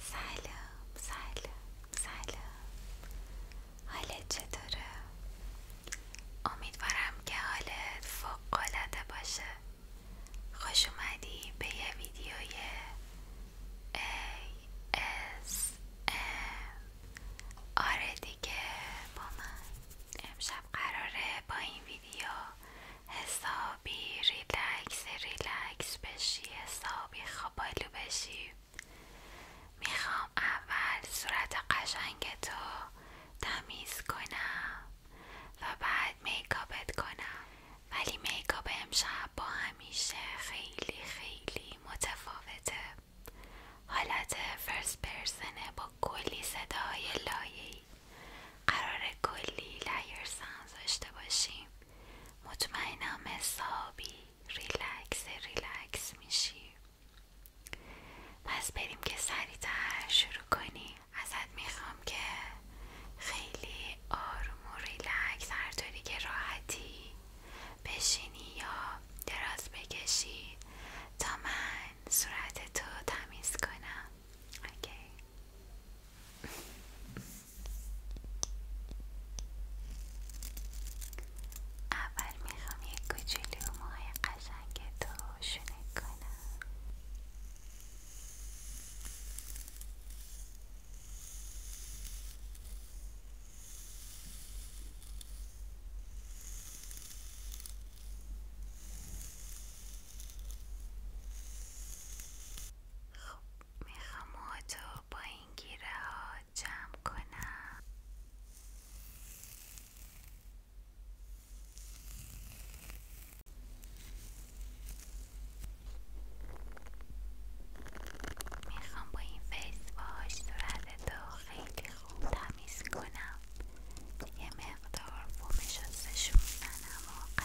سلام سلام سلام حالت چطوره؟ امیدوارم که حالت فوقالعاده باشه خوش اومدی به یه ویدیوی ASM آره دیگه با من امشب قراره با این ویدیو حساب خوابی ریلکس ریلکس بشی حسابی خوابالو بشی میخوام اول صورت قشنگ تو تمیز کنم و بعد میکاپت کنم ولی میکاپ امشب با همیشه خیلی خیلی متفاوته حالت فرست پرسنه با کلی صدای لایه‌ای قرار کلی لایر سانز داشته باشیم مطمئنم حسابی ریلکس ریلکس میشی پس بریم که سریتر شروع کنی ازت میخوام که خیلی آروم و ریلکس هر طوری که راحتی بشینی یا دراز بکشی تا من صورت تو تمیز کنم اوکی اول میخوام یک کوچولو ماه قشنگ تو شونه کنم خب میخوام موتو با این گیره ها جمع کنم میخوام با این فیس واش صورت خیلی خوب تمیز کنم یه مقدار بوم شستشو میزنم و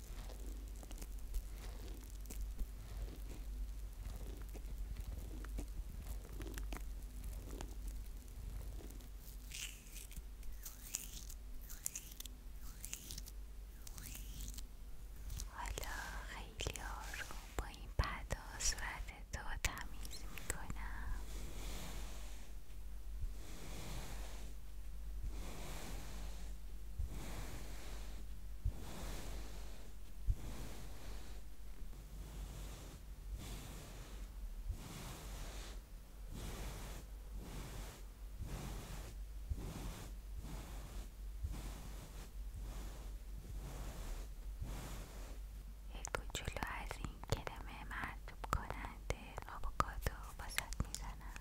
حالا خیلی آروم با این پدا صورت تو تمیز میکنم یک کوچولو از این کرم مرتوب کنند آووکادو واسط میزنم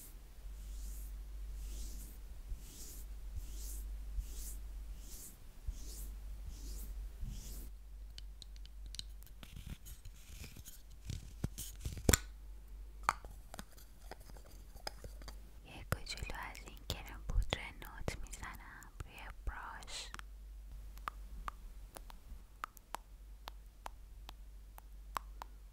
یه جلو از این کرم پودر نوت میزنم روی براش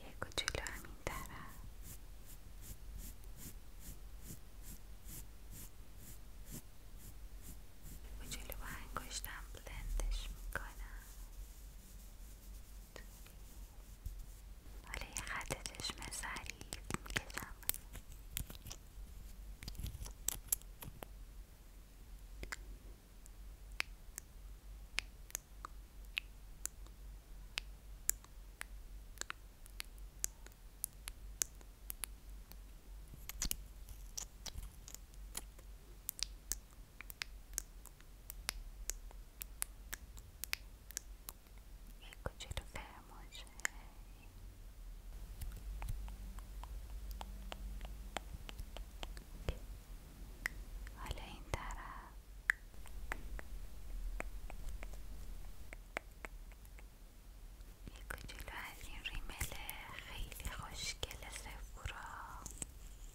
یک و جلو همین طرف یک جلو با بلندش میکنم حالا یه خط یک کوچولو فرماشه حالا این طرف یک رو از این ریمل خیلی خوشگل سفورا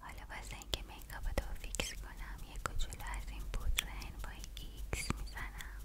حالا واسه اینکه میکاپ تو فیکس کنم یه کوچولو از این پودر انوای ایکس میزنم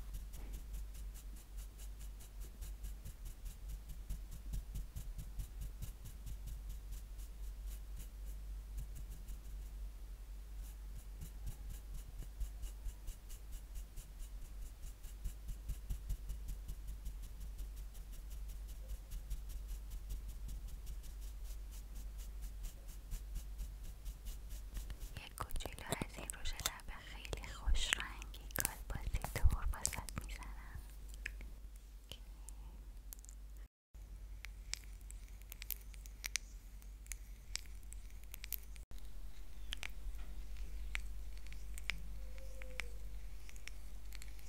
یک کوچولو از این روش لبه خیلی خوش رنگی کالباسی دور بازت میزنم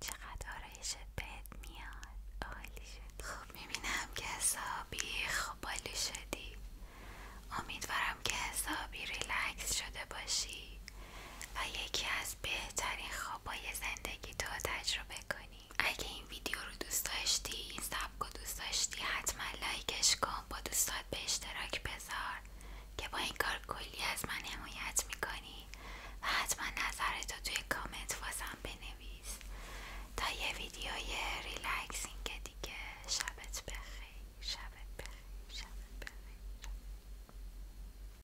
چقدر آرایشت بهت میاد عالی شد خب میبینم که حسابی خوبالی شدی امیدوارم که حسابی ریلکس شده باشی و یکی از از بهترین خوابای زندگی تو تجربه کنی اگه این ویدیو رو دوست داشتی این سبک رو دوست داشتی حتما لایکش کن با دوستات به اشتراک بذار که با این کار کلی از من حمایت میکنی و حتما تو توی کامنت واسم بنویس تا یه ویدیوی ریلکسینگ دیگه شبت بخیر شبت شبت بخیر